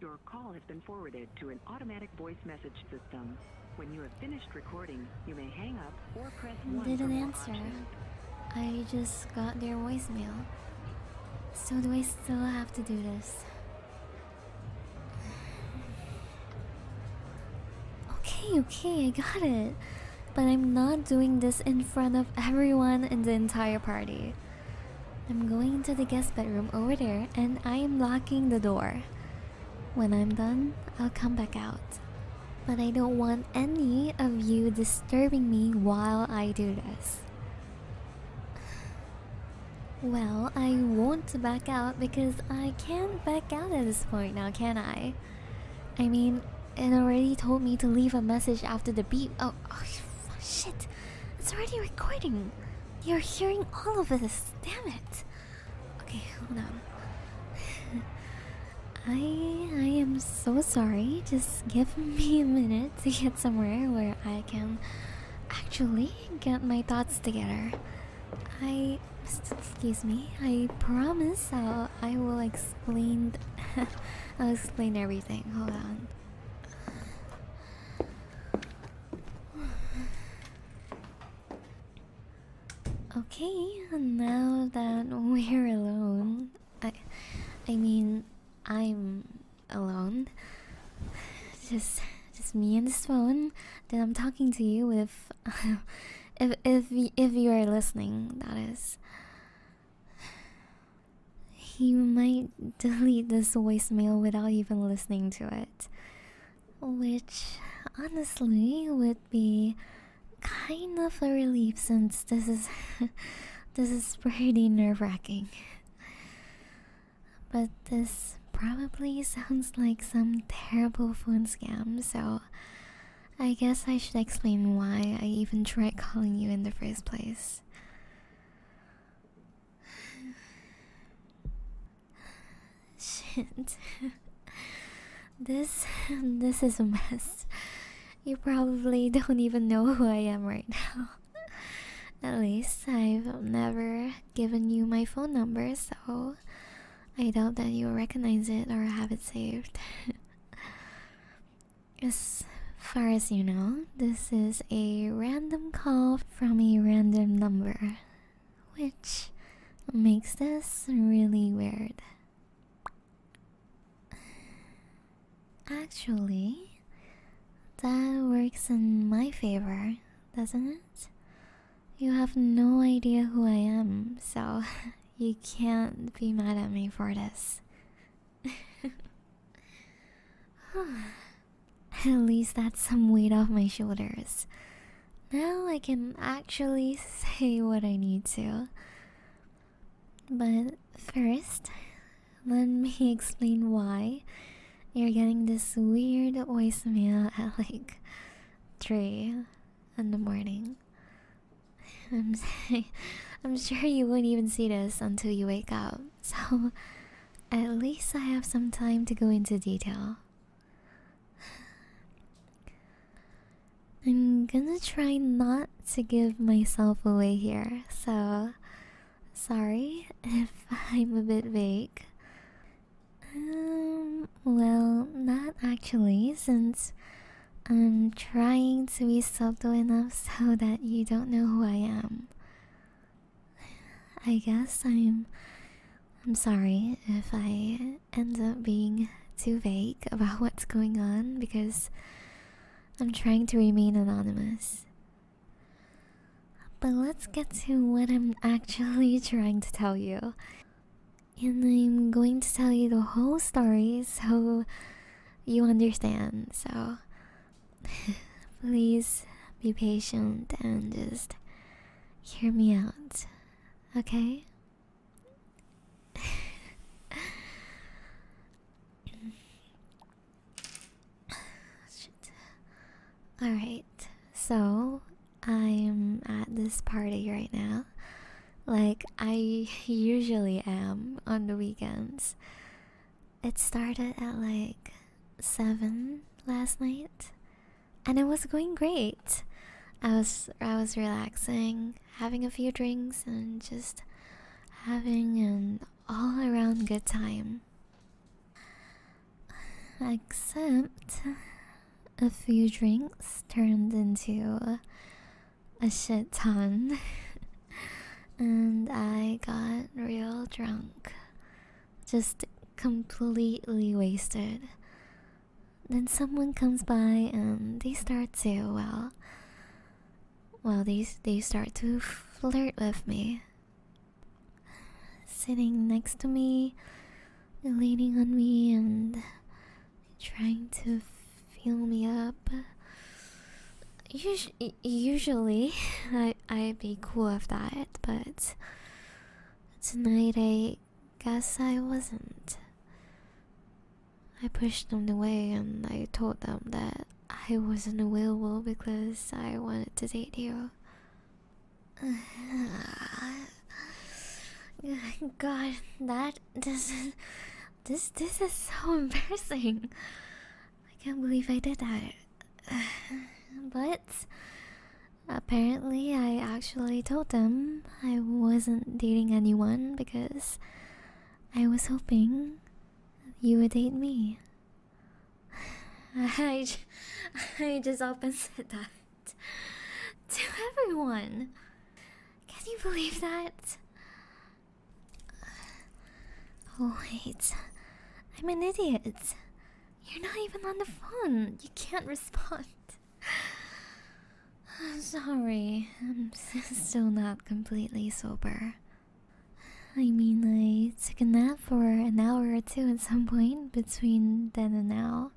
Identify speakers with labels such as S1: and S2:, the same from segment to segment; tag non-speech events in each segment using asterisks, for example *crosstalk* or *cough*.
S1: Your call has been forwarded to an automatic voice message system. When you have finished recording, you may hang up or press one. Didn't answer. Options. I just got their voicemail. So do I still have to do this? *sighs* Okay, okay, I got it but I'm not doing this in front of everyone in the entire party. I'm going into the guest bedroom over there and I am locking the door. When I'm done, I'll come back out. But I don't want any of you disturbing me while I do this. Well, I won't back out because I can't back out at this point now, can I? I mean, it already told me to leave a message after the beep. Oh, oh, shit. It's already recording. You're hearing all of this. Damn it. Okay, hold on. *laughs* I I am so sorry. Just give me a minute to get somewhere where I can actually get my thoughts together. I excuse me. I promise I'll I will explain *laughs* I'll explain everything. Hold on. Okay, now that we're alone, I I mean I'm alone. Just just me and this phone that I'm talking to you with *laughs* if if if you are listening, that is he might *laughs* delete this voicemail without even listening to it. Which, honestly, would be kind of a relief since this is *laughs* this is pretty nerve-wracking. But this probably sounds like some terrible phone scam, so I guess I should explain why I even tried calling you in the first place. *sighs* Shit. *laughs* this *laughs* this is a mess. You probably don't even know who I am right now. *laughs* At least I've never given you my phone number, so I doubt that you'll recognize it or have it saved. As far as you know, this is a random call from a random number, which makes this really weird. Actually, that works in my favor, doesn't it? You have no idea who I am, so *laughs* you can't be mad at me for this. *laughs* At least that's some weight off my shoulders. Now I can actually say what I need to. But first, let me *laughs* explain why you're getting this weird voicemail at like 3 in the morning. *laughs* I'm sorry. I'm sure you wouldn't even see this until you wake up. So, at least I have some time to go into detail. I'm gonna try not to give myself away here, so sorry if *laughs* I'm a bit vague. Um, well, not actually, since I'm trying to be subtle enough so that you don't know who I am. I guess I'm I'm sorry if I end up being too vague about what's going on because I'm trying to remain anonymous. But let's get to what I'm actually *laughs* trying to tell you. And I'm going to tell you the whole story, so you understand. So *laughs* please be patient and just hear me out. Okay? *laughs* All right. So, I'm at this party right now like I usually am on the weekends. It started at like 7 last night and it was going great. I was I was relaxing, having a few drinks and just having an all around good time. Except a few drinks turned into a shit ton. *laughs* and I got real drunk. Just completely wasted. Then someone comes by and they start to, well, well, they, they start to flirt with me. Sitting next to me, leaning on me, and trying to fill me up. Us usually, *laughs* I I'd be cool with that, but tonight I guess I wasn't. I pushed them away and I told them that I wasn't available because I wanted to date you. *sighs* God, that doesn't this this is so *laughs* embarrassing. I can't believe I did that. *sighs* but apparently I actually told them I wasn't dating anyone because I was hoping you would date me. *sighs* *laughs* I just up *laughs* said that to everyone. Can you believe that? *sighs* Oh, wait. I'm an idiot. You're not even on the phone. You can't respond. I'm *sighs* sorry. I'm *laughs* still not completely sober. I mean, I took a nap for an hour or two at some point between then and now.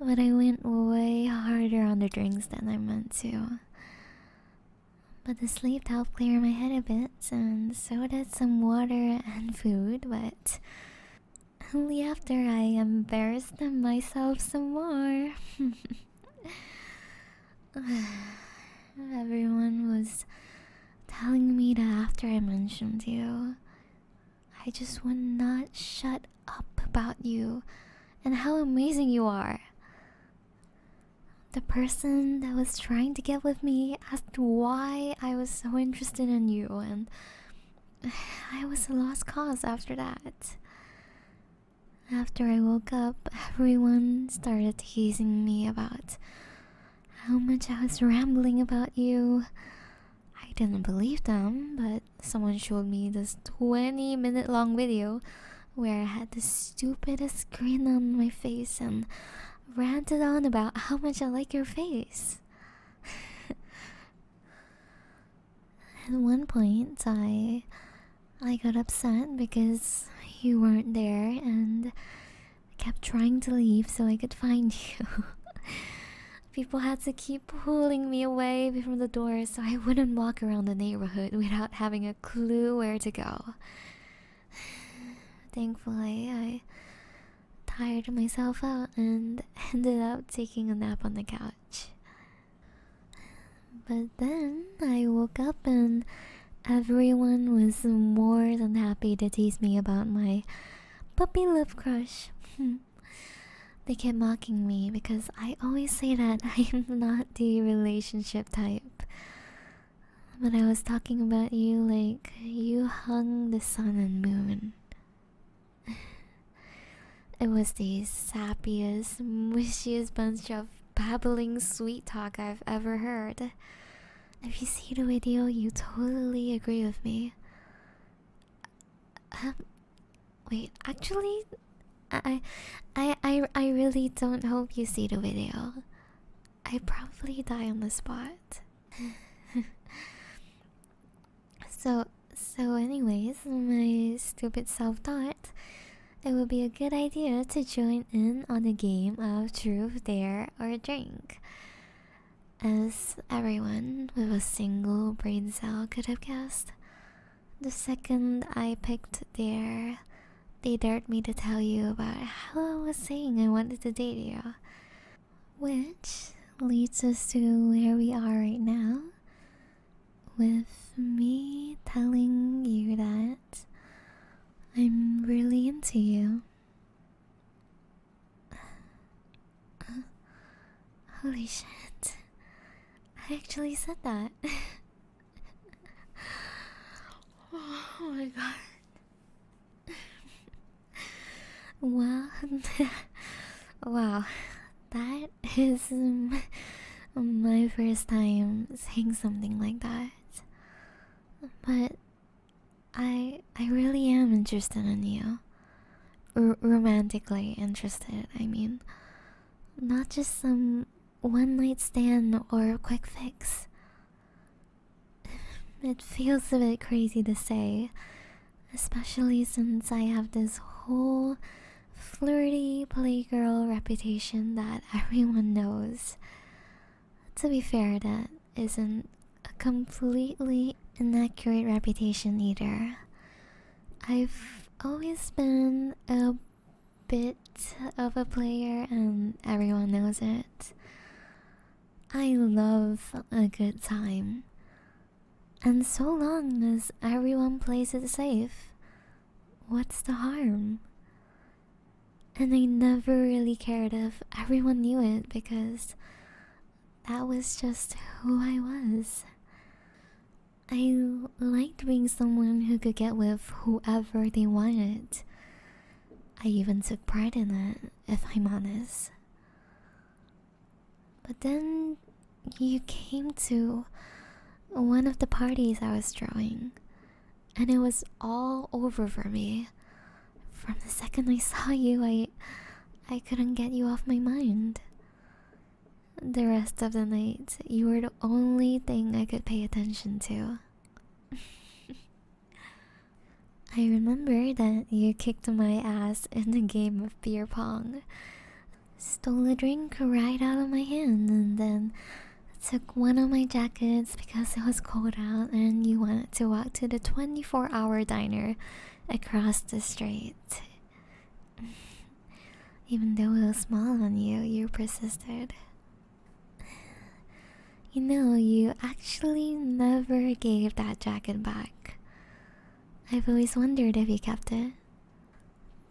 S1: But I went way harder on the drinks than I meant to. But the sleep helped clear my head a bit, and so did some water and food, but only after I embarrassed myself some more. *sighs* Everyone was telling me that after I mentioned you, I just would not shut up about you and how amazing you are. The person that was trying to get with me asked why I was so interested in you, and *sighs* I was a lost cause after that. After I woke up, everyone started teasing me about how much I was rambling about you. I didn't believe them, but someone showed me this 20 minute long video where I had the stupidest grin on my face and ranted on about how much I like your face. *laughs* At one point, I I got upset because you weren't there and I kept trying to leave so I could find *laughs* you. People had to keep pulling me away from the door so I wouldn't walk around the neighborhood without having a clue where to go. *sighs* Thankfully, I tired myself out and *laughs* ended up taking a nap on the couch. But then I woke up and everyone was more than happy to tease me about my puppy love crush. *laughs* Hmm they kept mocking me because I always say that *laughs* I am not the relationship type. But I was talking about you like you hung the sun and moon. *sighs* It was the sappiest, mushiest bunch of babbling sweet talk I've ever heard. If you see the video, you totally agree with me. Um, Wait, actually, I, I, I, I really don't hope you see the video. I probably die on the spot. *laughs* so, so anyways, my stupid self thought, it would be a good idea to join in on the game of truth, dare, or drink. As everyone with a single brain cell could have guessed, the second I picked there, they dared me to tell you about how I was saying I wanted to date you. Which leads us to where we are right now. With me telling you that I'm really into you. *sighs* Holy shit. I actually said that. *laughs* oh my god. Well, *laughs* wow, that is my first time saying something like that. But I I really am interested in you. romantically interested, I mean. Not just some one night stand or quick fix. *sighs* It feels a bit crazy to say, especially since I have this whole flirty playgirl reputation that *laughs* everyone knows. To be fair, that isn't a completely inaccurate reputation either. I've always been a bit of a player and everyone knows it. I love a good time. And so long as everyone plays it safe, what's the harm? And I never really cared if everyone knew it because that was just who I was. I liked being someone who could get with whoever they wanted. I even took pride in it, if I'm honest. But then you came to one of the parties I was throwing, and it was all over for me. From the second I saw you, I I couldn't get you off my mind. The rest of the night, you were the only thing I could pay attention to. *laughs* I remember that you kicked my ass in the game of beer pong, stole a drink right out of my hand, and then took one of my jackets because it was cold out and you wanted to walk to the 24 hour diner across the street. Even though it was small on you, you persisted. You know, you actually never gave that jacket back. I've always wondered if you kept it.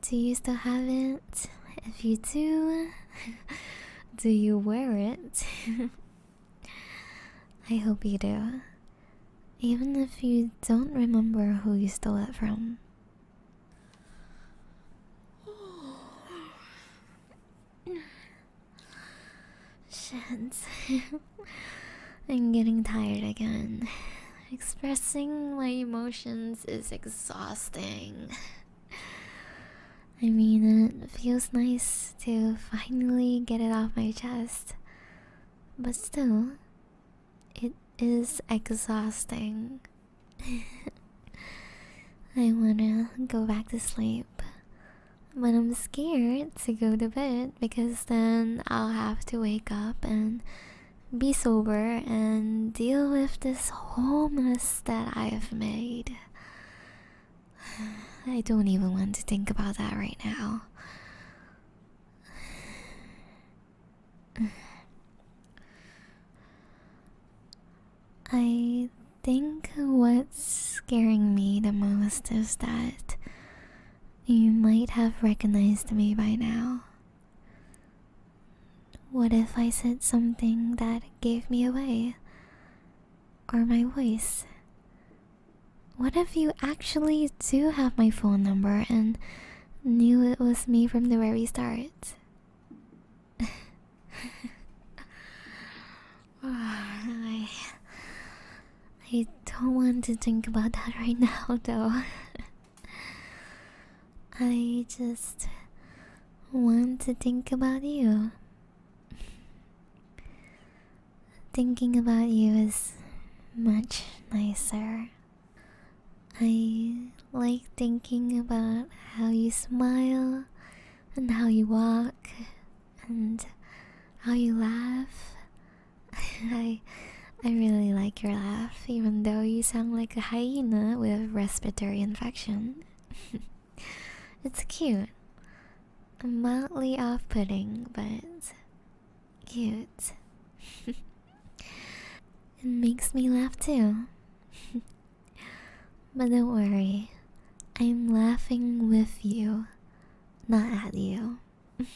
S1: Do you still have it? If you do, *laughs* do you wear it? *laughs* I hope you do. Even if you don't remember who you stole it from. Shit. I'm getting tired again. Expressing my emotions is exhausting. I mean, it feels nice to finally get it off my chest. But still, it is exhausting. *laughs* I wanna go back to sleep, but I'm scared to go to bed because then I'll have to wake up and be sober and deal with this whole mess that I have made. *sighs* I don't even want to think about that right now. *sighs* *sighs* I think what's scaring me the most is that you might have recognized me by now. What if I said something that gave me away? Or my voice? What if you actually do have my phone number and knew it was me from the very start. *laughs* Ah, I, I don't want to think about that right now, *laughs* though. I just want to think about you. Thinking about you is much nicer. I like thinking about how you smile and how you walk and how you laugh. *laughs* I I really like your laugh even though you sound like a hyena with respiratory infection. *laughs* it's cute. Mildly off-putting, but Cute. *laughs* it makes me laugh too. *laughs* but don't worry, I'm laughing with you, not at you. *laughs*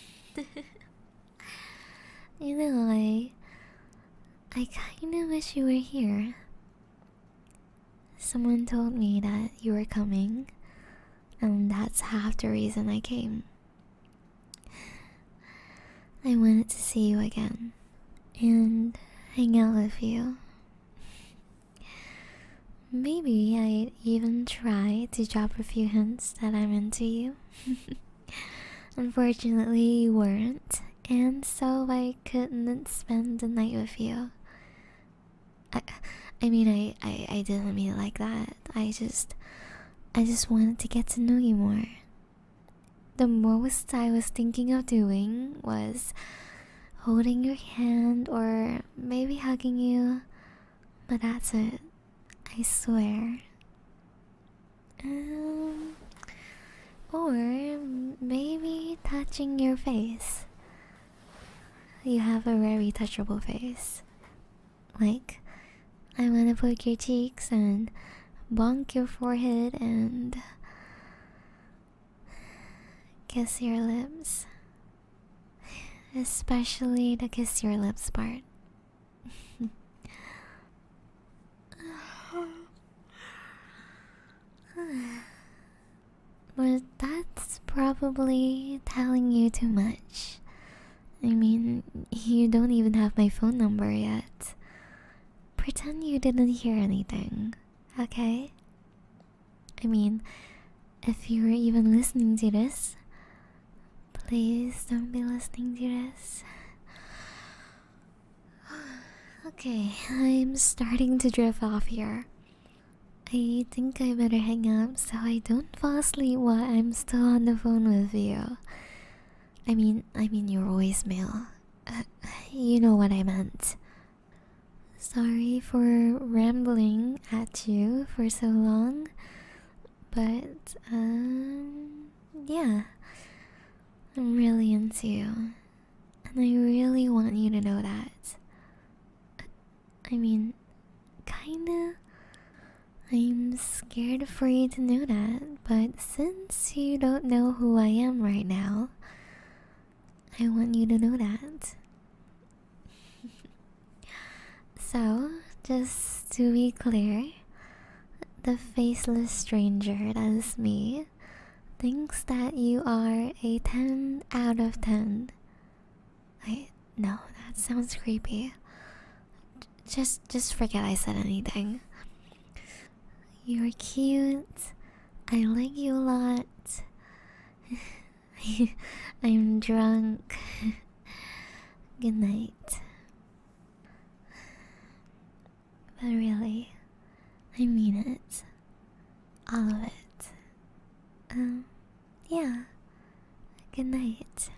S1: you know, I. I kinda wish you were here. Someone told me that you were coming, and that's half the reason I came. I wanted to see you again and hang out with you. Maybe I'd even try to drop a few hints that I'm into you. *laughs* Unfortunately, you weren't, and so I couldn't spend the night with you. I, I mean, I, I, I didn't mean it like that. I just, I just wanted to get to know you more, the most I was thinking of doing was holding your hand or maybe hugging you, but that's it, I swear. Um, or maybe touching your face. You have a very touchable face. Like, I want to poke your cheeks and bonk your forehead and kiss your lips. Especially to kiss your lips part. *sighs* but that's probably telling you too much. I mean, you don't even have my phone number yet. Pretend you didn't hear anything, okay? I mean, if you are even listening to this, please don't be listening to this. *sighs* Okay, I'm starting to drift off here. I think I better hang up so I don't fall asleep while I'm still on the phone with you. I mean, I mean your voicemail. Uh, you know what I meant. Sorry for rambling at you for so long, but um, yeah, I'm really into you, and I really want you to know that. I mean, kinda. I'm scared for you to know that, but since you don't know who I am right now, I want you to know that. *laughs* so, just to be clear, the faceless stranger that is me thinks that you are a 10 out of 10. I. No, that sounds creepy just just forget I said anything. You're cute. I like you a lot. *laughs* I'm drunk. *laughs* Good night. But really, I mean it. All of it. Um, yeah. Good night.